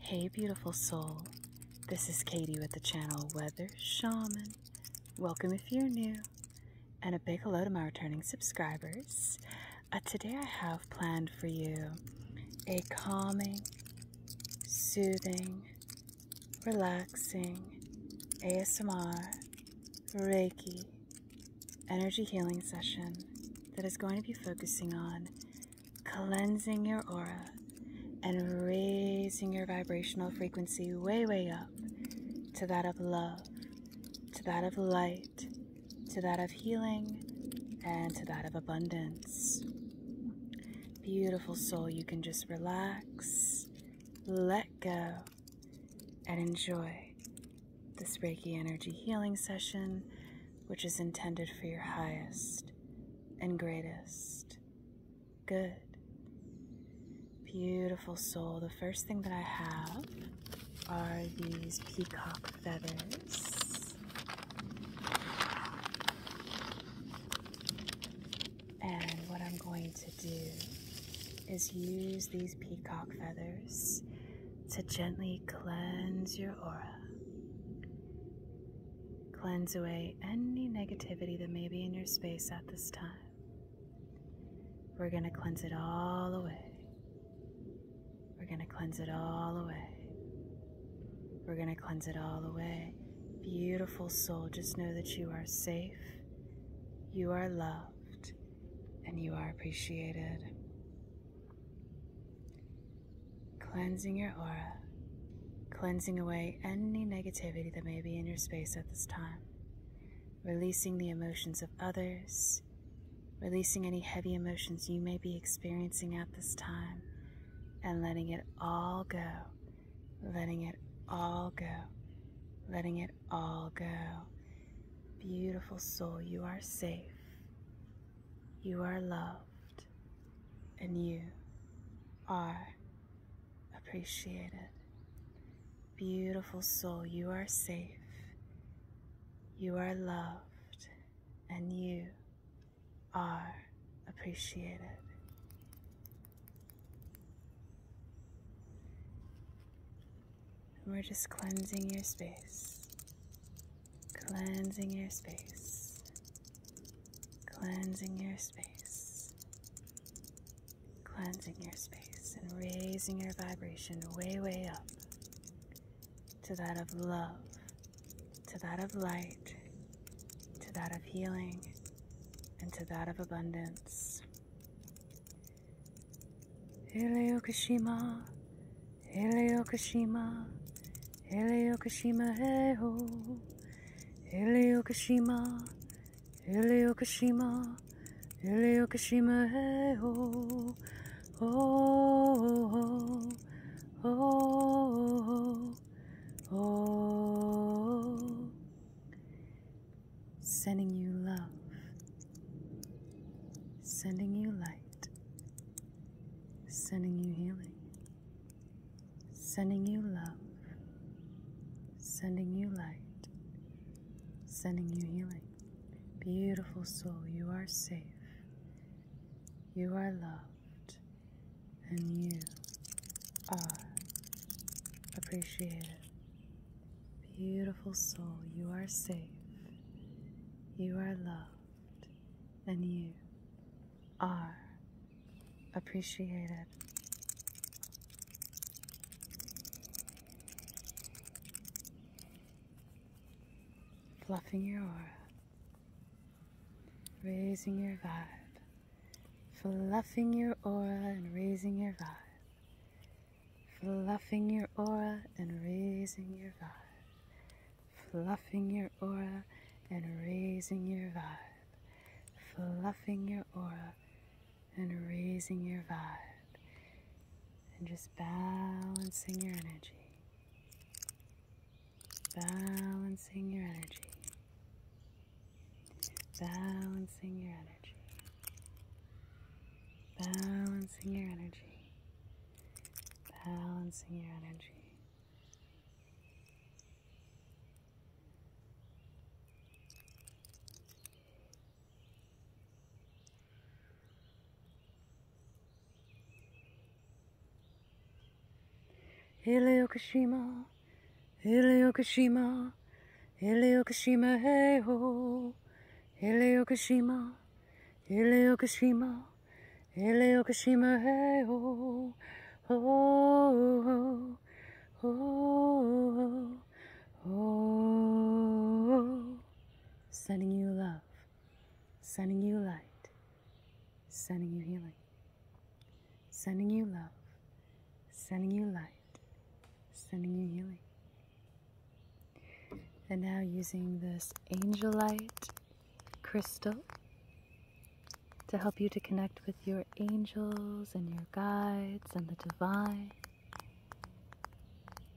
Hey, beautiful soul. This is Katie with the channel Weather Shaman. Welcome if you're new, and a big hello to my returning subscribers. Uh, today, I have planned for you a calming, soothing, relaxing ASMR Reiki energy healing session that is going to be focusing on cleansing your aura and raising your vibrational frequency way, way up to that of love, to that of light, to that of healing, and to that of abundance. Beautiful soul, you can just relax, let go, and enjoy this Reiki energy healing session, which is intended for your highest and greatest. Good. Beautiful soul. The first thing that I have are these peacock feathers. And what I'm going to do is use these peacock feathers to gently cleanse your aura. Cleanse away any negativity that may be in your space at this time. We're going to cleanse it all away. We're going to cleanse it all away. We're going to cleanse it all away. Beautiful soul, just know that you are safe, you are loved, and you are appreciated cleansing your aura, cleansing away any negativity that may be in your space at this time, releasing the emotions of others, releasing any heavy emotions you may be experiencing at this time, and letting it all go, letting it all go, letting it all go. Beautiful soul, you are safe. You are loved and you are appreciated. Beautiful soul, you are safe, you are loved, and you are appreciated. we're just cleansing your space cleansing your space, cleansing your space, cleansing your space, and raising your vibration way, way up to that of love, to that of light, to that of healing, and to that of abundance. Eleokashima, Eleokashima, Hele Yokoshima, hey ho. Hele Yokoshima, Hele Yokoshima, Hele Yokoshima, hey ho. Oh, oh, oh, oh, oh. Sending you love, sending you light, sending you healing sending you love, sending you light, sending you healing. Beautiful soul, you are safe, you are loved, and you are appreciated. Beautiful soul, you are safe, you are loved, and you are appreciated. Fluffing your aura, raising your vibe, fluffing your aura and raising your vibe, fluffing your aura and raising your vibe, fluffing your aura and raising your vibe. Fluffing your aura and raising your vibe. And just balancing your energy. Balancing your energy. Balancing your energy. Balancing your energy. Balancing your energy. Hiroshima, Hiroshima, Hiroshima, hey ho, Hiroshima, Hiroshima. Ele Okushima oh oh oh oh sending you love sending you light sending you healing sending you love sending you light sending you healing and now using this angelite crystal to help you to connect with your angels and your guides and the divine,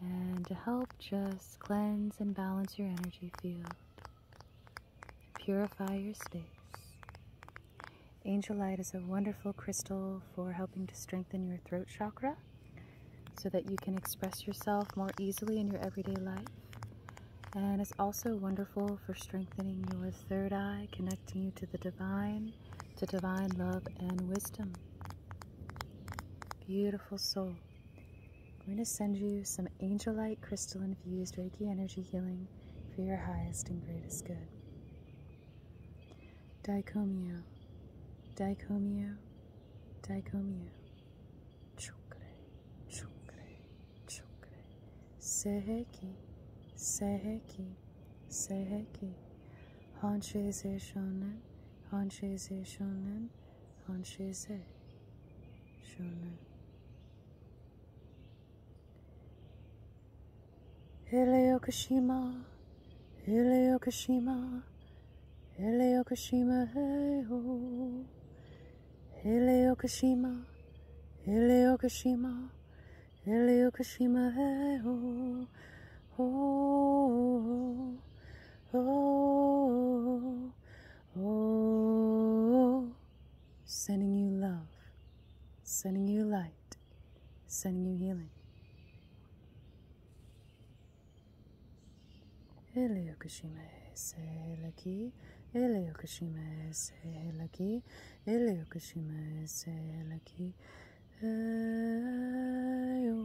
and to help just cleanse and balance your energy field, purify your space. Angel Light is a wonderful crystal for helping to strengthen your throat chakra so that you can express yourself more easily in your everyday life and it's also wonderful for strengthening your third eye, connecting you to the divine, to divine love and wisdom. Beautiful soul. I'm going to send you some angelite crystal infused Reiki energy healing for your highest and greatest good. Daikomyo, daikomyo, daikomyo. Çukre, çukre, çukre. Seheki, seheki, seheki. Hanche ze shonen, hanche ze shonen, hanche ze shonen. Hele Yokoshima, hele Yokoshima, hele Yokoshima, hey ho. Heleokashima, Heleokashima, Heleokashima, hey, oh, oh, oh, oh, sending you love, sending you light, sending you healing. Heleokashima, Selaki ele Yokushima is lucky, ele Yokushima is lucky. Ayo,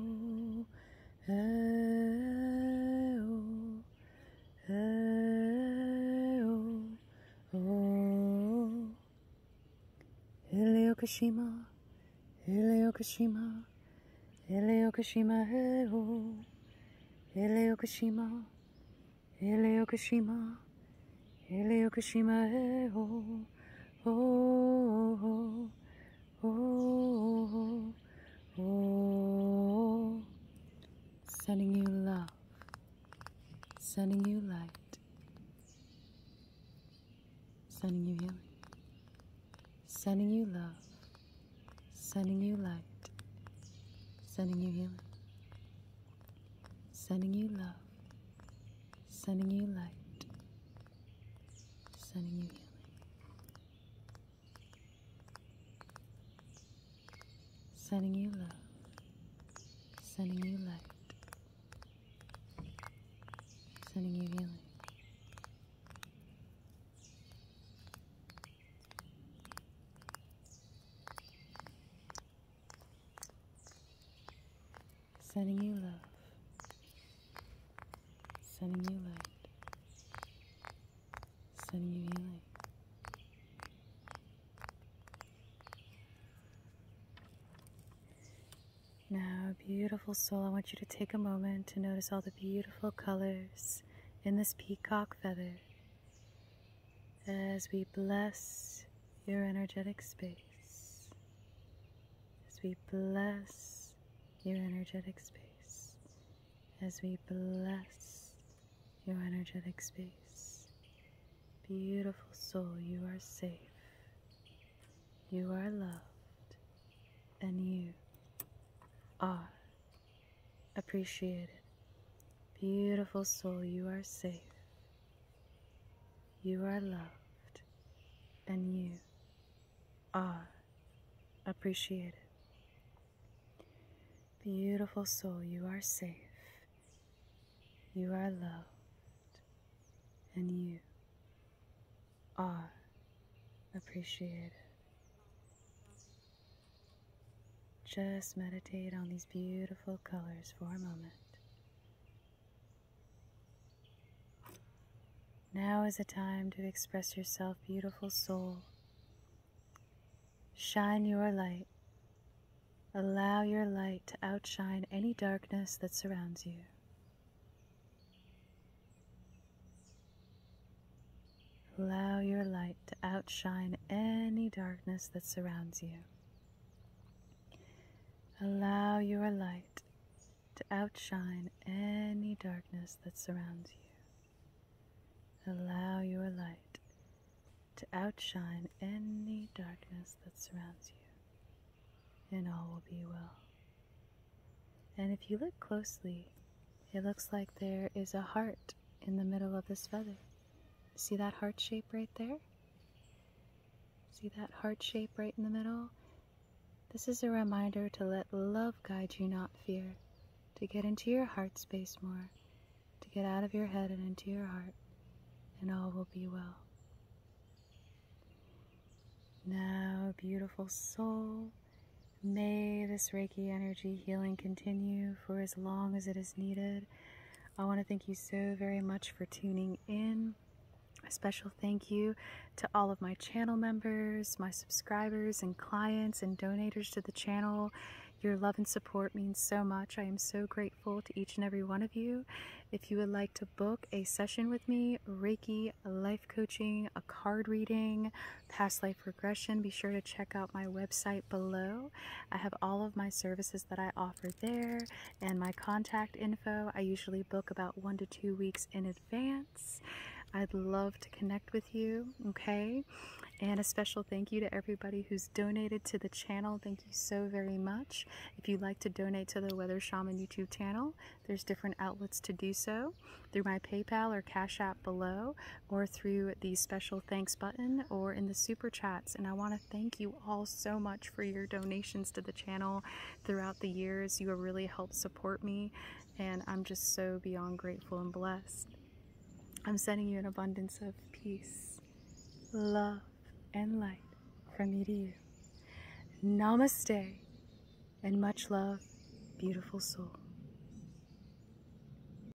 ayo, ayo, oh. Ele Yokushima, ele Yokushima, ele Yokushima, ele Yokushima. Hele Okushima, Hele Okushima, hey ho, ho, Sending you love, sending you light, sending you healing, sending you love sending you light, sending you healing, sending you love, sending you light, sending you healing. Sending you love, sending you light, sending you healing. Sending you love, sending you light, sending you healing. Now, beautiful soul, I want you to take a moment to notice all the beautiful colors in this peacock feather as we bless your energetic space, as we bless your energetic space, as we bless your energetic space. Beautiful soul, you are safe, you are loved, and you are appreciated. Beautiful soul, you are safe. You are loved. And you are appreciated. Beautiful soul, you are safe. You are loved. And you are appreciated. Just meditate on these beautiful colors for a moment. Now is a time to express yourself, beautiful soul. Shine your light. Allow your light to outshine any darkness that surrounds you. Allow your light to outshine any darkness that surrounds you. Allow your light to outshine any darkness that surrounds you. Allow your light to outshine any darkness that surrounds you, and all will be well. And if you look closely, it looks like there is a heart in the middle of this feather. See that heart shape right there? See that heart shape right in the middle? This is a reminder to let love guide you, not fear, to get into your heart space more, to get out of your head and into your heart, and all will be well. Now, beautiful soul, may this Reiki energy healing continue for as long as it is needed. I want to thank you so very much for tuning in. A special thank you to all of my channel members, my subscribers and clients and donors to the channel. Your love and support means so much. I am so grateful to each and every one of you. If you would like to book a session with me, Reiki, life coaching, a card reading, past life regression, be sure to check out my website below. I have all of my services that I offer there and my contact info. I usually book about one to two weeks in advance. I'd love to connect with you, okay? And a special thank you to everybody who's donated to the channel. Thank you so very much. If you'd like to donate to the Weather Shaman YouTube channel, there's different outlets to do so through my PayPal or Cash App below or through the special thanks button or in the super chats. And I want to thank you all so much for your donations to the channel throughout the years. You have really helped support me, and I'm just so beyond grateful and blessed. I'm sending you an abundance of peace, love, and light from me to you. Namaste and much love, beautiful soul.